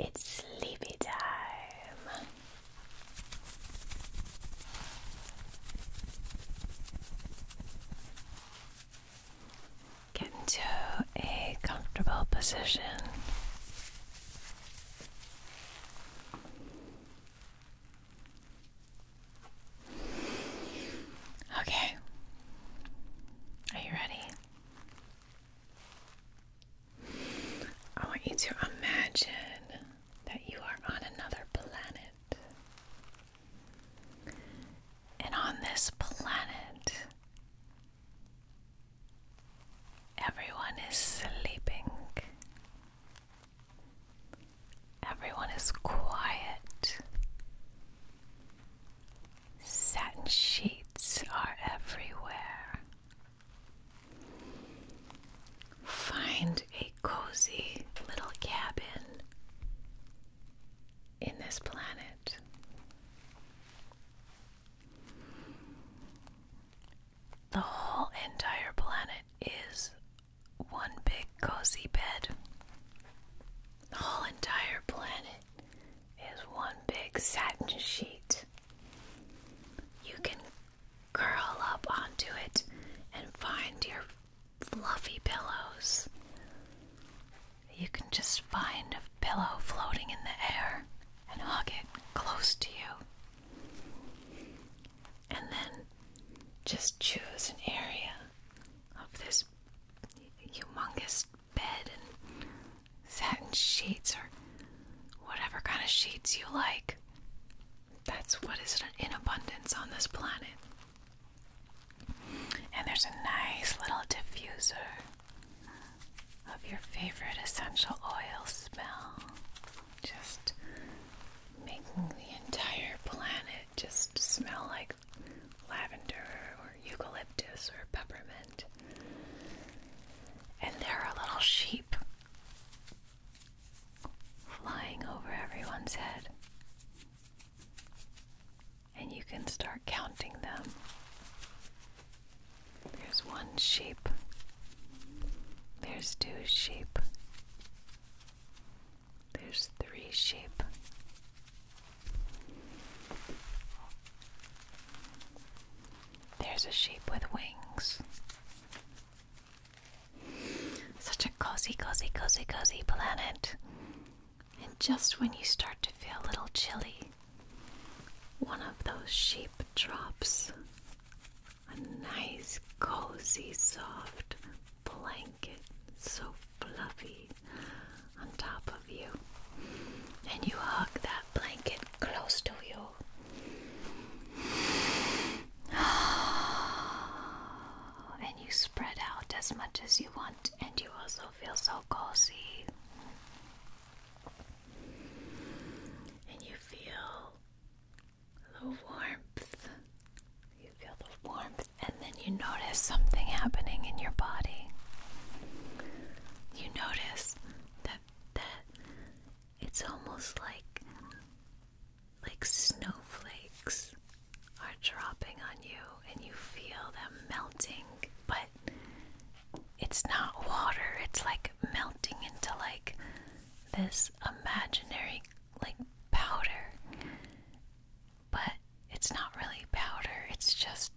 It's sleepy time. Get into a comfortable position. Okay. Are you ready? I want you to imagine that you are on another planet. And on this planet, everyone is sleeping. Everyone is quiet. Satin sheets are everywhere. Find a cozy little cabin in this planet. The whole entire planet is one big cozy bed. The whole entire planet is one big satin sheet. You can curl up onto it and find your fluffy pillows. You can just find a pillow floating in the air and hug it close to you. And then just choose an area of this humongous bed and satin sheets or whatever kind of sheets you like. That's what is in abundance on this planet. And there's a nice little diffuser of your favorite essential oil smell. Just making the entire planet just smell like lavender or eucalyptus or peppermint. And there are little sheep flying over everyone's head. And you can start counting them. There's one sheep. There's two sheep. There's three sheep. There's a sheep with wings. Such a cozy, cozy, cozy, cozy planet. And just when you start to feel a little chilly, one of those sheep drops a nice, cozy, soft blanket. So fluffy on top of you, and you hug that blanket close to you. And you spread out as much as you want, and you also feel so cozy. And you feel the warmth. You feel the warmth, and and you notice something happening in your body. You notice that that it's almost like like snowflakes are dropping on you and you feel them melting, but it's not water, it's like melting into like this imaginary like powder but it's not really powder, it's just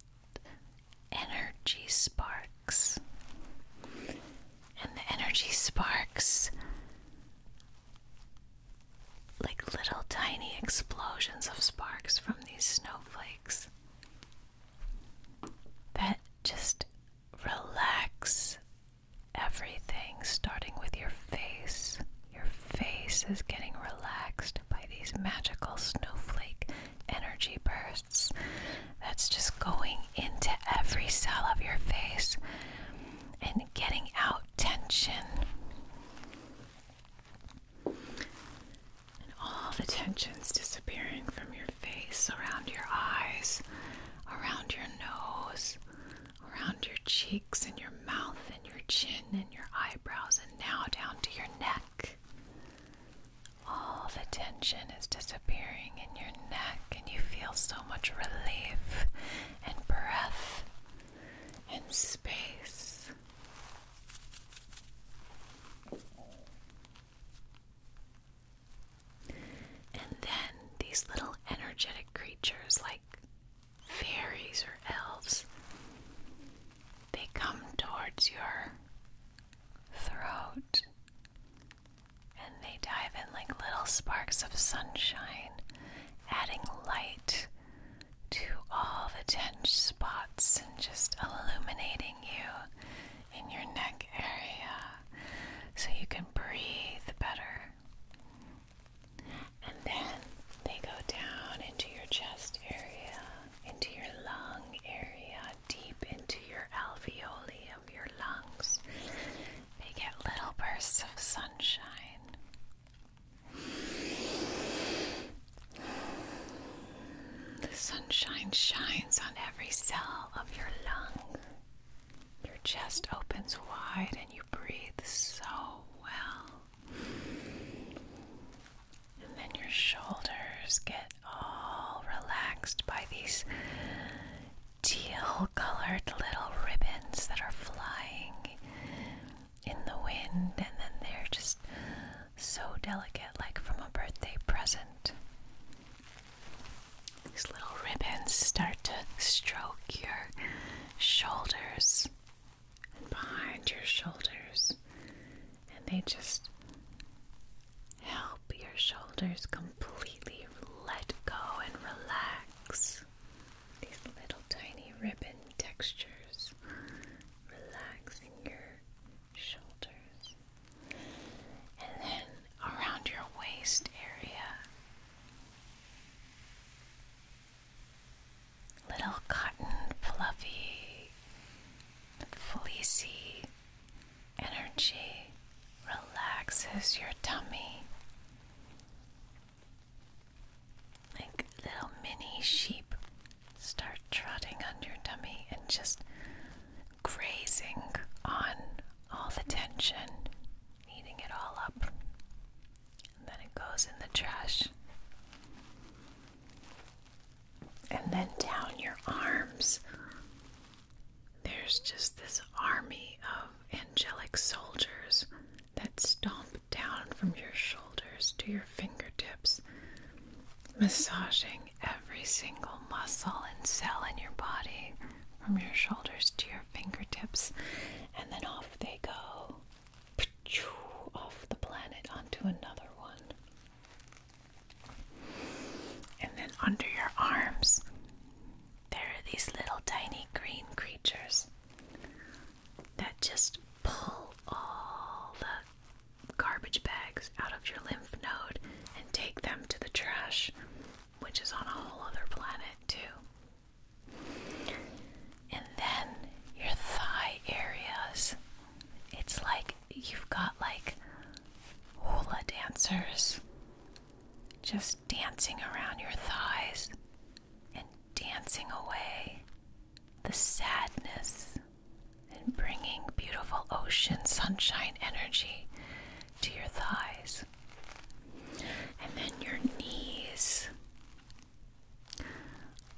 energy sparks. And the energy sparks like little tiny explosions of sparks from these snowflakes that just relax everything, starting with your face. Your face is getting relaxed by these magical snowflake energy bursts that's just going into every cell of your face and getting out tension. And all the tensions disappearing from your face, around your eyes, around your nose, around your cheeks and your mouth and your chin and your eyebrows, and now down to your neck. All the tension is disappearing in your neck, and you feel so much relief and breath and space. And then these little energetic creatures, like fairies or elves, they come towards your throat and they dive in like little sparks of sunshine, adding light to all the tense spots and just illuminating you in your neck area so you can breathe better. And then they go down into your chest area into your lung area, deep into your alveoli of your lungs. They get little bursts of sunshine. The sunshine shines on every cell of your lung. Your chest opens wide and you breathe so well. And then your shoulders get all relaxed by these teal colored little ribbons that are flying in the wind, and then they're just so delicate, like from a birthday present. These little ribbons start to stroke your shoulders behind your shoulders, and they just help your shoulders completely let go and relax. These little tiny ribbon textures relaxing your shoulders, and then around your waist area. Little cotton, fluffy, fleecy energy relaxes your tummy like little mini sheep start trotting on your tummy and just grazing on all the tension eating it all up and then it goes in the trash and then down your arms. There's just this army of angelic soldiers that stomp down from your shoulders to your fingertips, massaging every single muscle and cell in your body from your shoulders to your fingertips, and then off they go off the planet onto another one. And then under your arms, there are these little tiny green creatures that just pull all the garbage bags out of your lymph node and take them to the trash, which is on a whole other planet, too and then your thigh areas. It's like you've got like hula dancers just dancing around your thighs and dancing away the sadness and bringing beautiful ocean sunshine energy to your thighs. And then your knees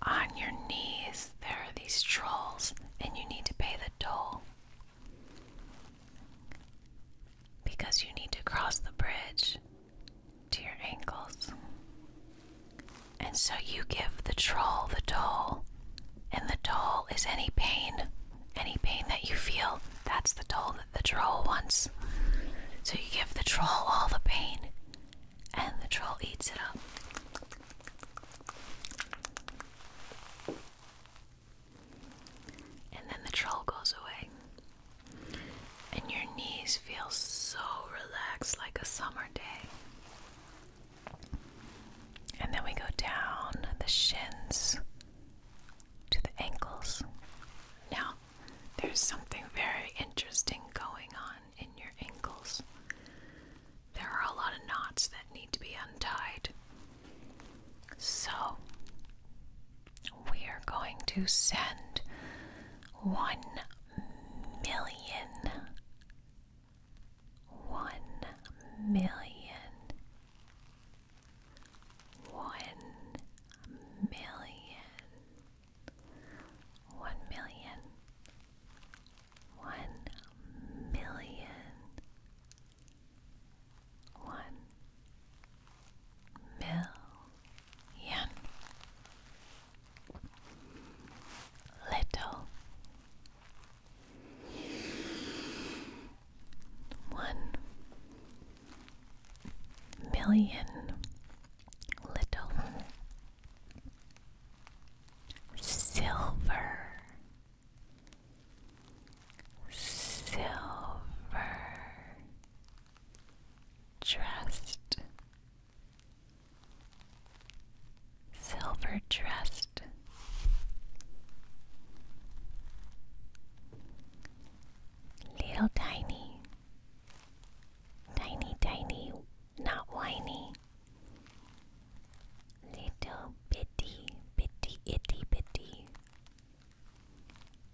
on your knees, there are these trolls, and you need to pay the toll. Because you need to cross the bridge to your ankles. And so you give the troll the toll, and the toll is any pain. Any pain that you feel, that's the toll that the troll wants. So you give the troll all the pain, and the troll eats it up. And then the troll goes away. And your knees feel so relaxed like a summer day. And then we go down the shins to the ankles. Now, there's something very interesting going on in your ankles. There are a lot of knots that need to be untied. So, we are going to send one million, one million, one million one million, one million, one million. Little one million little silver silver dressed silver dressed little tiny tiny tiny not whiny Little bitty, bitty, itty, bitty.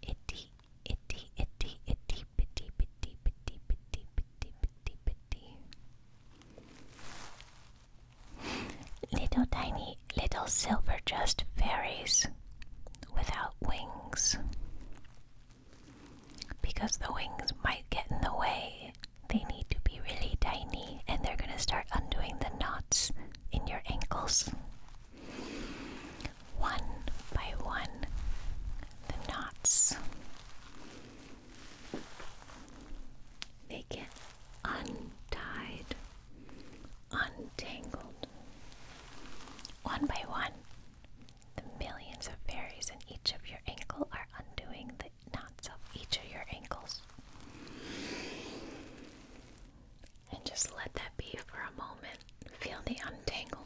Itty, itty, itty, itty, bitty, bitty, bitty, bitty, bitty, bitty, bitty. Little tiny, little silver just fairies without wings. Because the wings might get in the way, they need to be really tiny and they're going to start undoing the knots in your ankles. One by one, the knots. They get untied, untangled, one by one, the millions of berries in each of your ankles are undoing the knots of each of your ankles. And just let that be for a moment. Feel the untangling.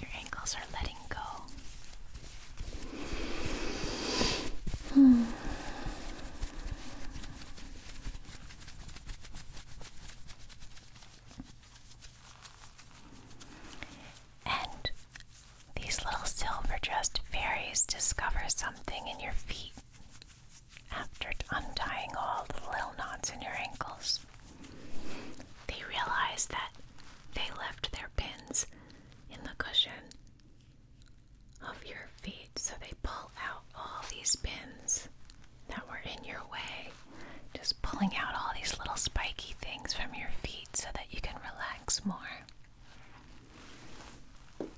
Your ankles are letting go. Hmm. And these little silver dressed fairies discover something in your feet after untying all the little knots in your ankles. They realize that they left their pins in the cushion of your feet, so they pull out all these pins that were in your way, just pulling out all these little spiky things from your feet so that you can relax more. And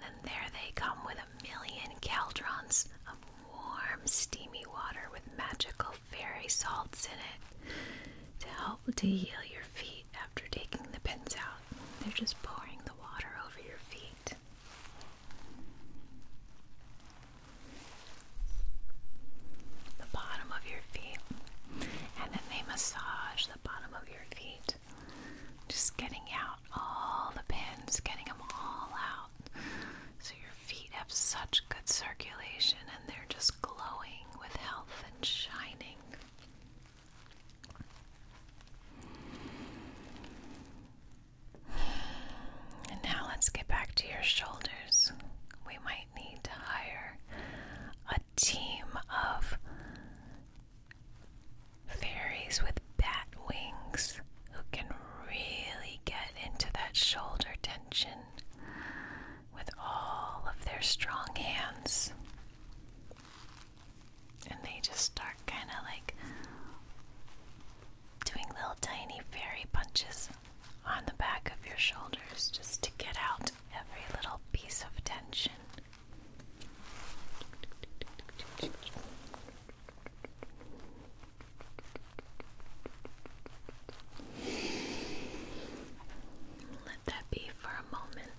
then there they come with a million caldrons of warm, steamy water with magical fairy salts in it to help to heal your feet after taking the pins out. They're just pouring the water over your feet. The bottom of your feet. And then they massage the bottom of your feet. Just getting out all the pins, getting them all out. So your feet have such good circulation and they're just glowing with health and shining. And now let's get back to your shoulders. We might need to hire a team of fairies with bat wings who can really get into that shoulder tension with all of their strong hands. And they just start kind of like doing little tiny fairy punches on the back of your shoulders just to get out every little piece of tension. Let that be for a moment.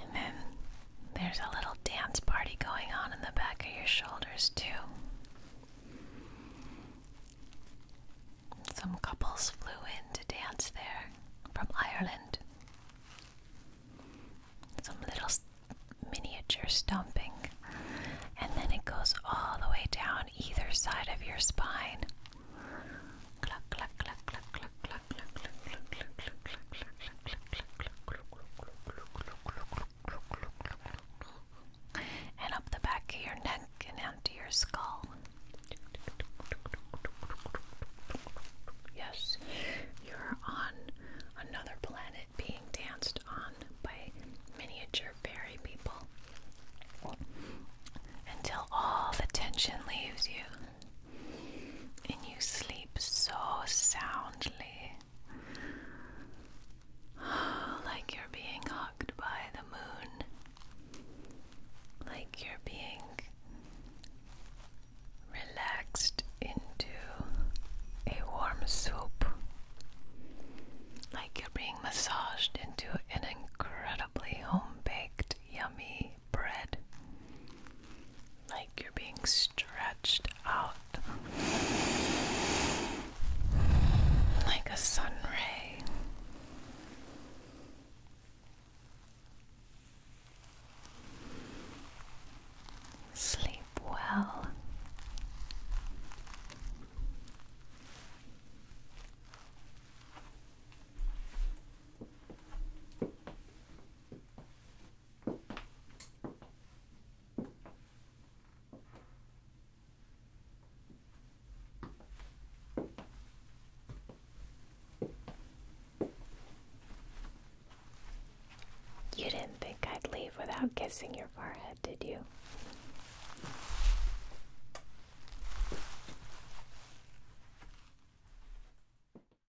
And then there's a little dance party going on in the back of your shoulders, too. Some couples flew in to dance there from Ireland. Some little miniature stomping. And then it goes all the way down either side of your spine. Cluck, cluck, cluck, cluck, cluck, cluck, cluck, cluck, cluck, cluck, cluck, cluck, cluck, and up the back of your neck and out your skull. Yes, you're on another planet being danced on by miniature fairy people until all the tension leaves you and you sleep so soundly, like you're being hugged by the moon, like you're being relaxed into a warm soup, like you're being massaged into an incredibly home baked, yummy bread. Like you're being stretched out like a sun ray. Sleep well. You didn't think I'd leave without kissing your forehead, did you?